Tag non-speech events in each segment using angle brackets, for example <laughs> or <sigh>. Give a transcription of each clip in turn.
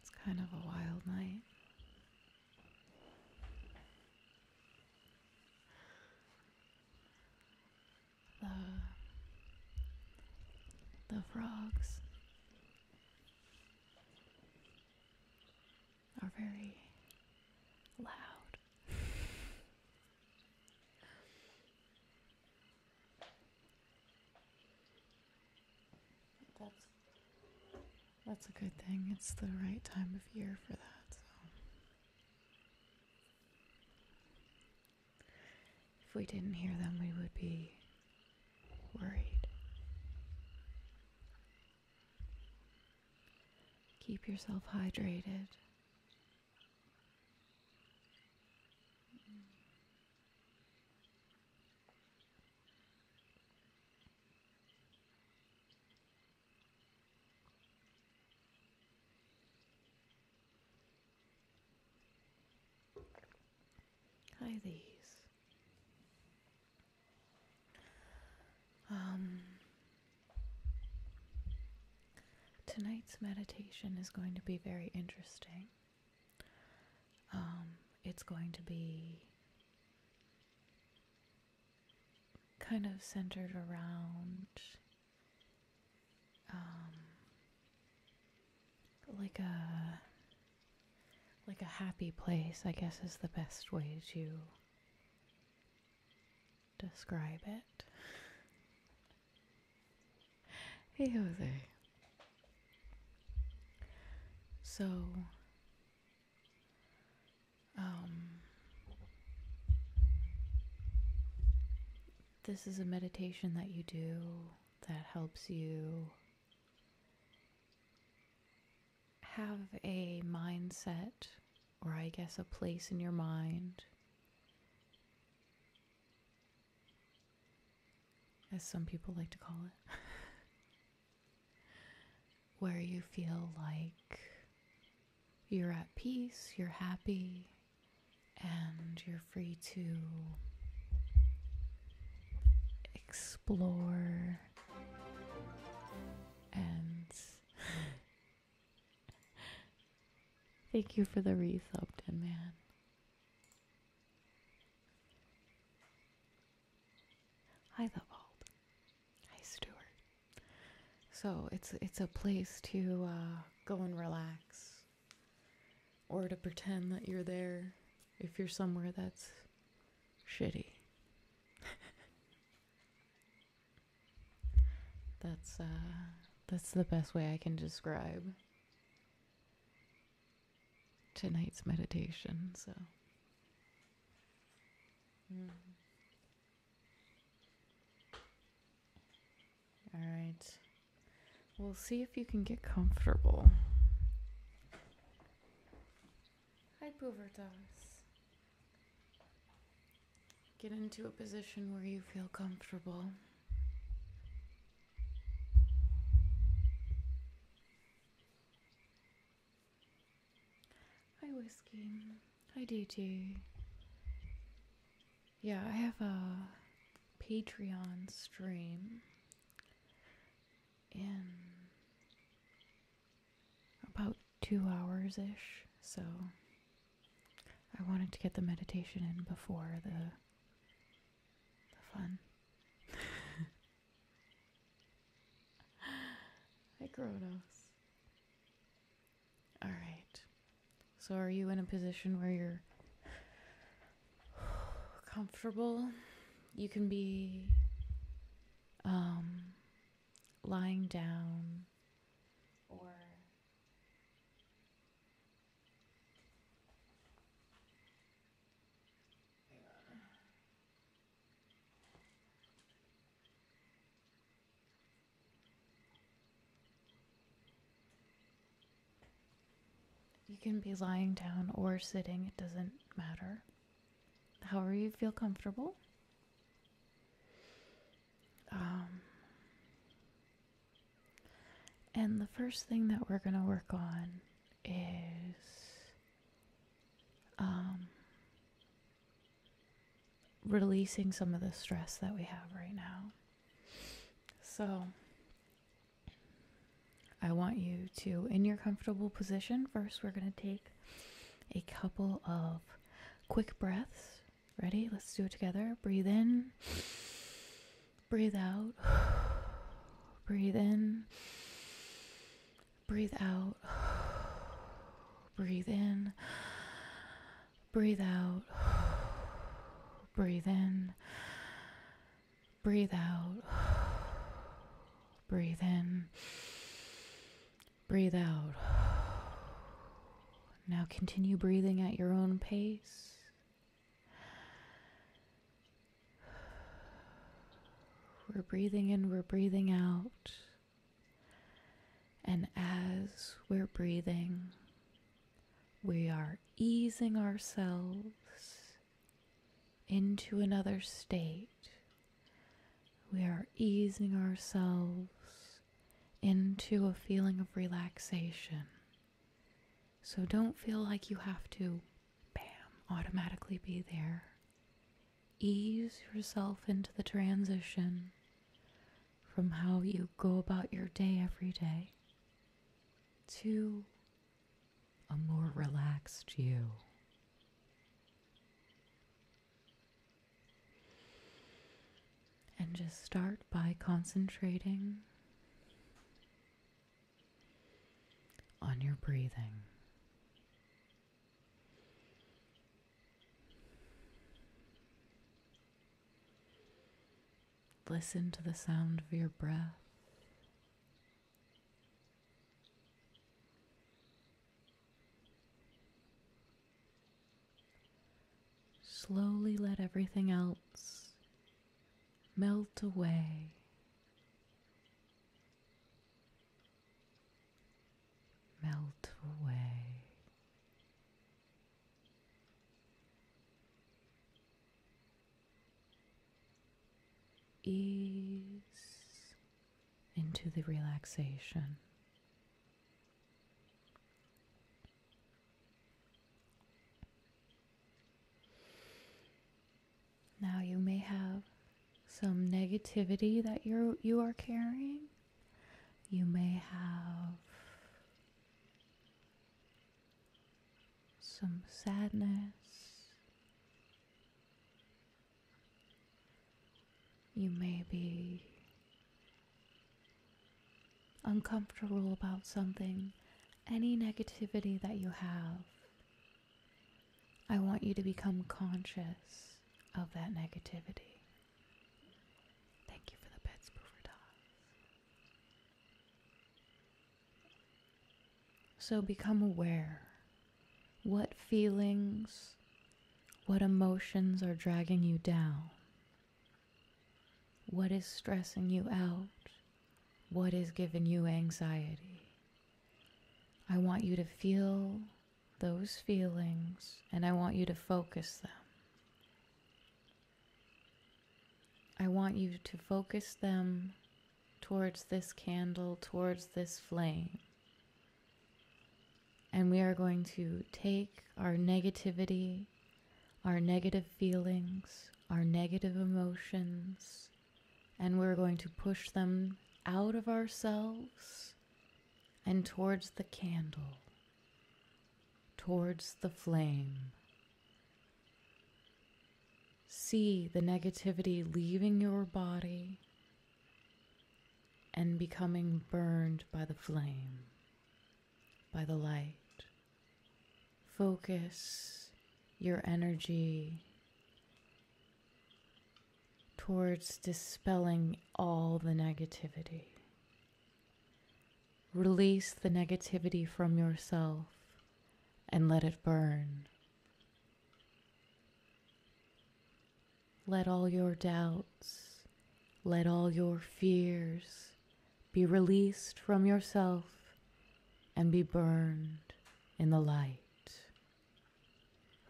it's kind of a wild night. The the frogs are very loud. that's a good thing. It's the right time of year for that. If we didn't hear them, we would be worried. Keep yourself hydrated. Hi, these. Um, tonight's meditation is going to be very interesting. Um, it's going to be kind of centered around um, like a like a happy place, I guess is the best way to describe it. Hey, Jose. So, um, this is a meditation that you do that helps you have a mindset, or I guess a place in your mind, as some people like to call it, <laughs> where you feel like you're at peace, you're happy, and you're free to explore and <laughs> thank you for the resub, Tin Man. Hi, the vault. Hi, Stuart. So it's it's a place to uh, go and relax, or to pretend that you're there if you're somewhere that's shitty. <laughs> that's uh that's the best way I can describe tonight's meditation, so mm-hmm. All right. We'll see if you can get comfortable. Hi Hypovertice. Get into a position where you feel comfortable. Hi, Whiskey. Hi, DT. Yeah, I have a Patreon stream in about two hours ish, so I wanted to get the meditation in before the, fun. Hi, <laughs> Kronos. Alright. So, are you in a position where you're comfortable. You can be um, lying down or you can be lying down or sitting, it doesn't matter. However, you feel comfortable. Um, and the first thing that we're going to work on is um, releasing some of the stress that we have right now. So, I want you to, in your comfortable position, first we're going to take a couple of quick breaths. Ready? Let's do it together. Breathe in, breathe out, breathe in, breathe out, breathe in, breathe out, breathe in, Breathe out. <sighs> Breathe in. Breathe out. Now continue breathing at your own pace. We're breathing in, we're breathing out. And as we're breathing, we are easing ourselves into another state. We are easing ourselves into a feeling of relaxation. So don't feel like you have to, bam, automatically be there. Ease yourself into the transition from how you go about your day every day to a more relaxed you. And just start by concentrating on your breathing. Listen to the sound of your breath Slowly let everything else melt away. Melt away ease into the relaxation. Now you may have some negativity that you you are carrying. You may have some sadness. You may be uncomfortable about something, any negativity that you have. I want you to become conscious of that negativity. Thank you for the pets, Dogs. So become aware what feelings, what emotions are dragging you down, what is stressing you out, what is giving you anxiety. I want you to feel those feelings and I want you to focus them. I want you to focus them towards this candle, towards this flame. And we are going to take our negativity, our negative feelings, our negative emotions, and we're going to push them out of ourselves and towards the candle, towards the flame, See the negativity leaving your body and becoming burned by the flame, by the light. Focus your energy towards dispelling all the negativity Release the negativity from yourself and let it burn. Let all your doubts, let all your fears be released from yourself and be burned in the light.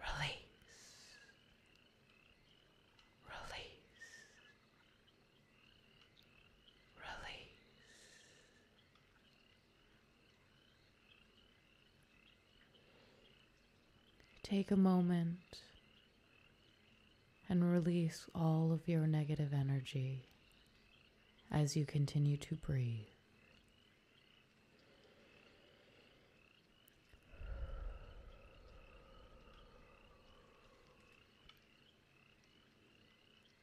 Release. Release. Release. Take a moment and release all of your negative energy as you continue to breathe.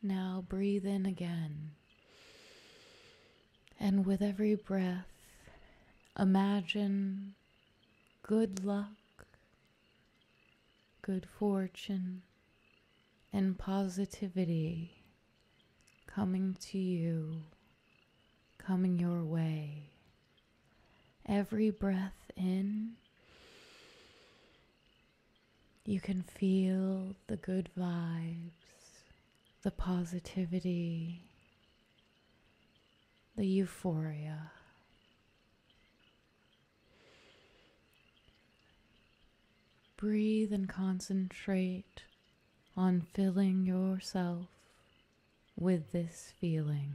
Now breathe in again. And with every breath, imagine good luck, good fortune, and positivity coming to you, coming your way. Every breath in, you can feel the good vibes, the positivity, the euphoria. Breathe and concentrate on filling yourself with this feeling.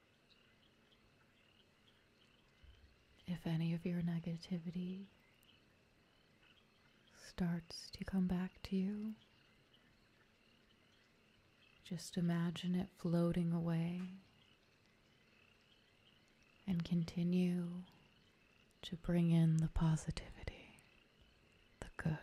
If any of your negativity starts to come back to you, just imagine it floating away and continue to bring in the positivity, the good.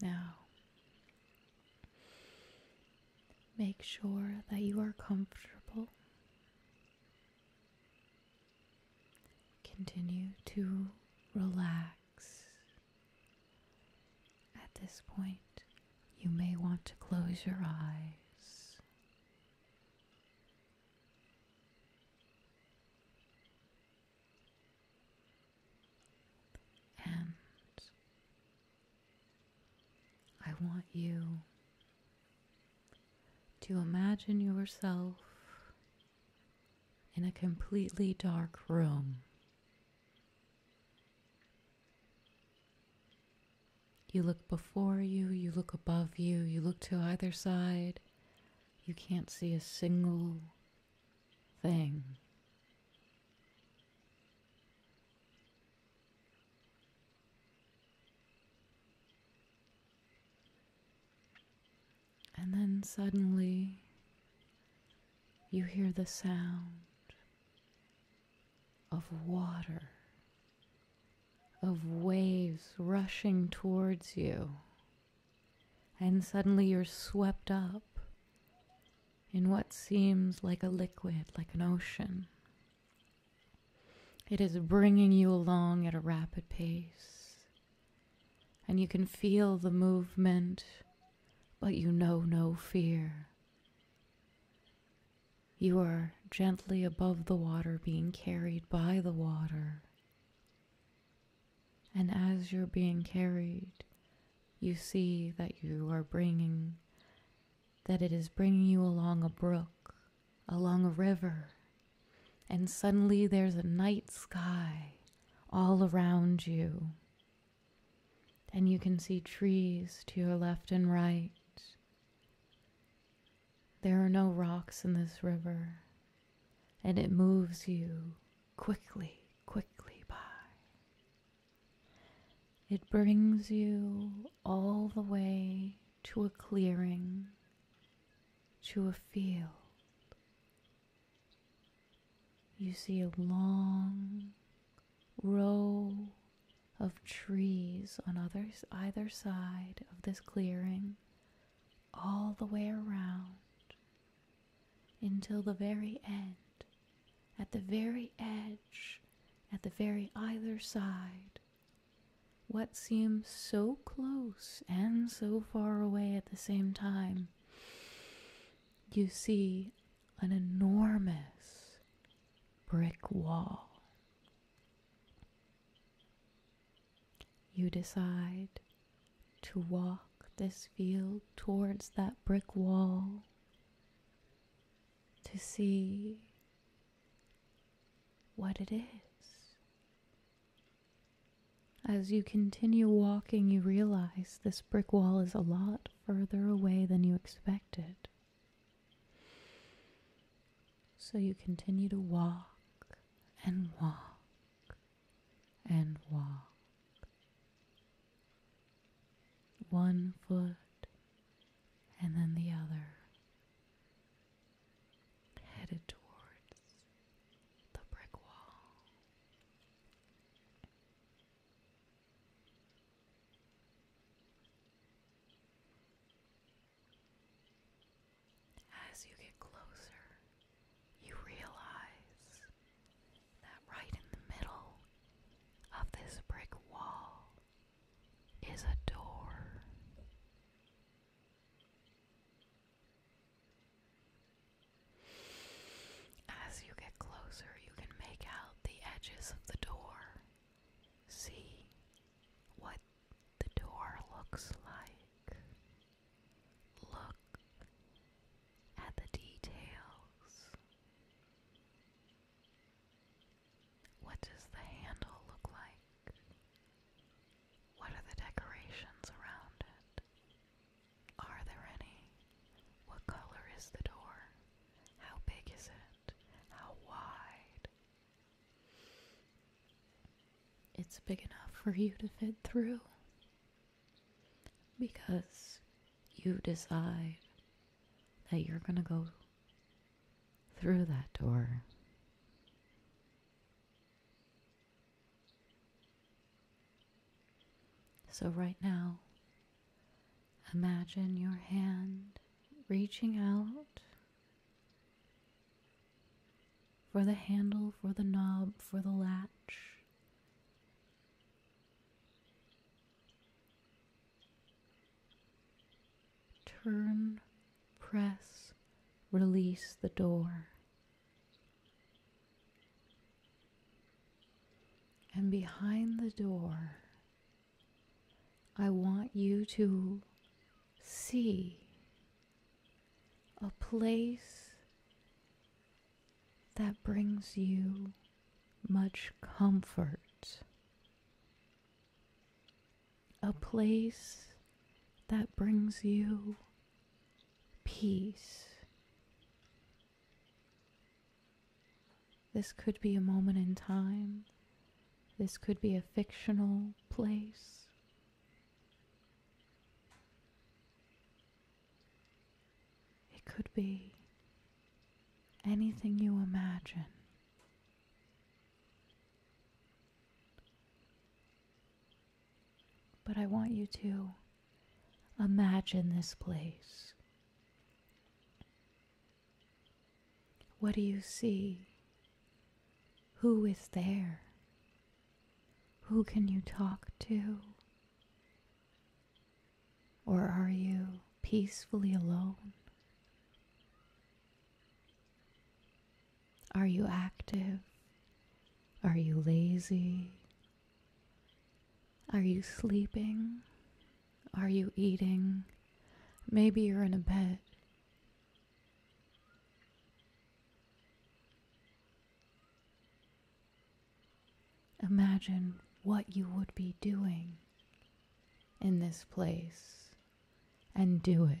Now, make sure that you are comfortable. Continue to relax. At this point, you may want to close your eyes and I want you to imagine yourself in a completely dark room. You look before you, you look above you, you look to either side. You can't see a single thing. And then suddenly you hear the sound of water, of waves rushing towards you, and suddenly you're swept up in what seems like a liquid, like an ocean. It is bringing you along at a rapid pace, and you can feel the movement, but you know no fear. You are gently above the water, being carried by the water. And as you're being carried, you see that you are bringing, that it is bringing you along a brook, along a river. And suddenly there's a night sky all around you and you can see trees to your left and right. There are no rocks in this river, and it moves you quickly, quickly by. It brings you all the way to a clearing, to a field. You see a long, row of trees on others either side of this clearing, all the way around until the very end. At the very edge, at the very either side, what seems so close and so far away at the same time, you see an enormous brick wall. You decide to walk this field towards that brick wall to see what it is. As you continue walking, you realize this brick wall is a lot further away than you expected. So you continue to walk and walk and walk. One foot and then the other, headed towards the brick wall. As you get closer, you realize that right in the middle of this brick wall is a door. As you get closer, you can make out the edges of the door. See what the door looks like. Look at the details. What does the handle look like? What are the decorations around it? Are there any? What color is the door? How big is it? How wide? It's big enough for you to fit through because you decide that you're going to go through that door. So, right now, Imagine your hand reaching out for the handle, for the knob, for the latch. Turn, press, release the door. And behind the door, I want you to see a place that brings you much comfort, a place that brings you peace this could be a moment in time. This could be a fictional place. It could be anything you imagine. But I want you to Imagine this place. What do you see? Who is there? Who can you talk to? Or are you peacefully alone? Are you active? Are you lazy? Are you sleeping? Are you eating? Maybe you're in a bed. Imagine what you would be doing in this place and do it.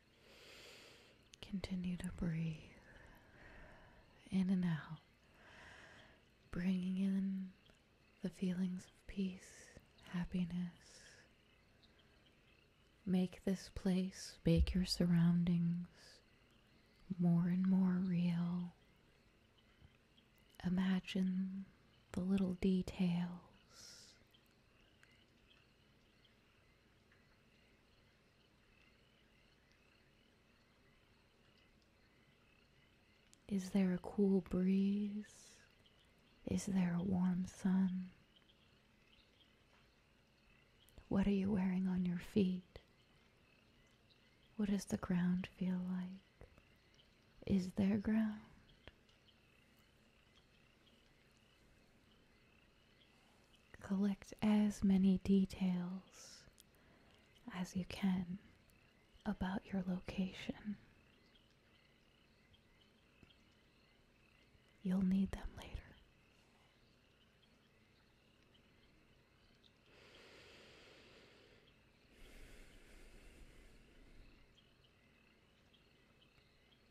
Continue to breathe in and out, bringing in the feelings of peace, happiness. Make this place, make your surroundings more and more real. Imagine the little details. Is there a cool breeze? Is there a warm sun? What are you wearing on your feet? What does the ground feel like? Is there ground? Collect as many details as you can about your location. You'll need them later.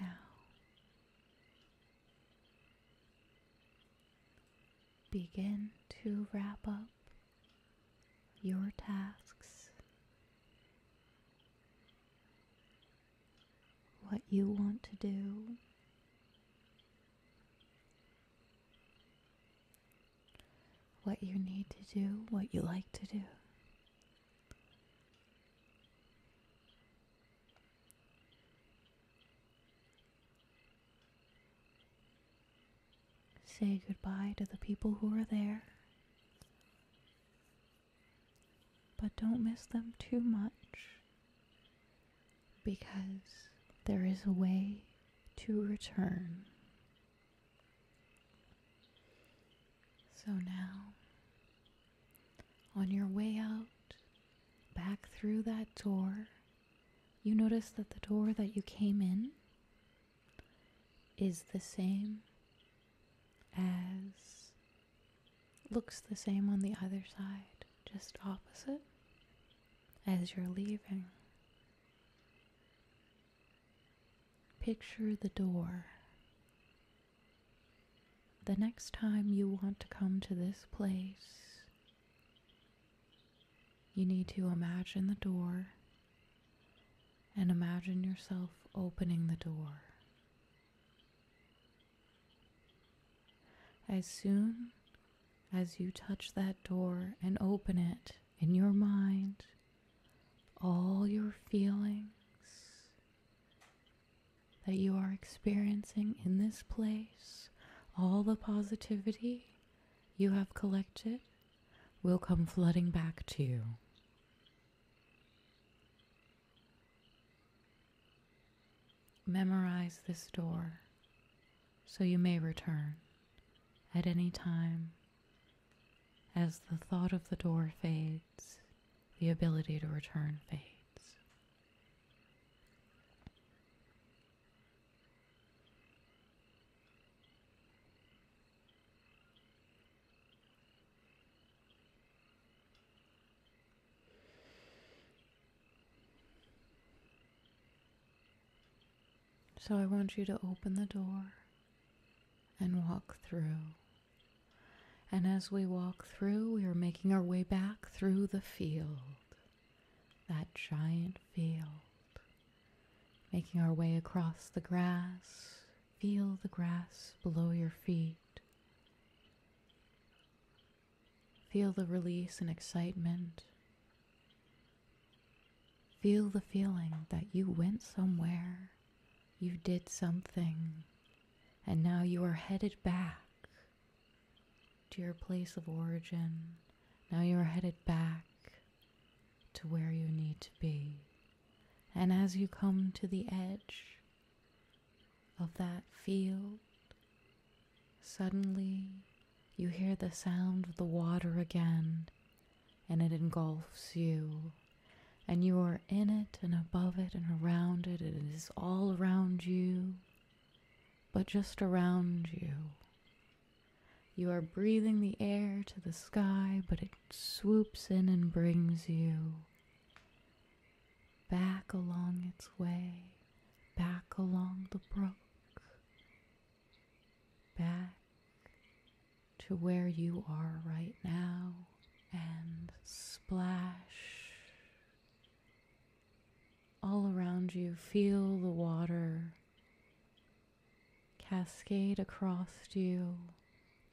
Now, begin to wrap up your tasks. What you want to do, what you need to do, what you like to do. Say goodbye to the people who are there, but don't miss them too much because there is a way to return. So now, on your way out, back through that door, you notice that the door that you came in is the same as looks the same on the other side, just opposite as you're leaving. Picture the door. The next time you want to come to this place, you need to imagine the door and imagine yourself opening the door. As soon as you touch that door and open it in your mind, all your feelings that you are experiencing in this place, all the positivity you have collected, will come flooding back to you. Memorize this door so you may return at any time. As the thought of the door fades, the ability to return fades. So I want you to open the door and walk through. And as we walk through, we are making our way back through the field, that giant field, making our way across the grass. Feel the grass below your feet. Feel the release and excitement. Feel the feeling that you went somewhere, you did something, and now you are headed back to your place of origin. Now you are headed back to where you need to be. And as you come to the edge of that field, Suddenly, you hear the sound of the water again, and it engulfs you. And you are in it and above it and around it, and it is all around you, but just around you. You are breathing the air to the sky, but it swoops in and brings you back along its way back along the brook, back to where you are right now, and splash all around you. Feel the water cascade across you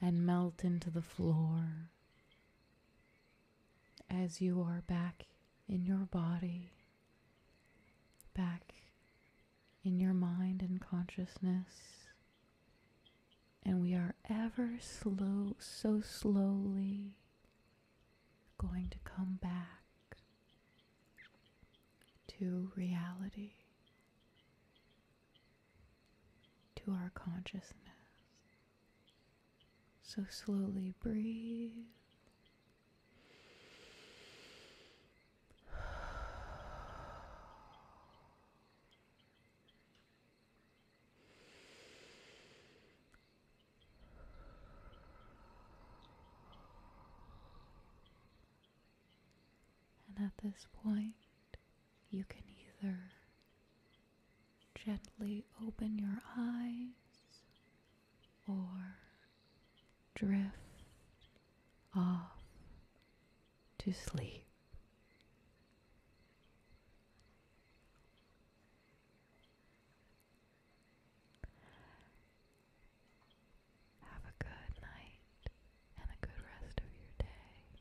and melt into the floor as you are back in your body, back in your mind and consciousness. And we are ever slow, so slowly going to come back to reality, to our consciousness. So slowly breathe. And at this point, you can either gently open your eyes or drift off to sleep. Have a good night and a good rest of your day.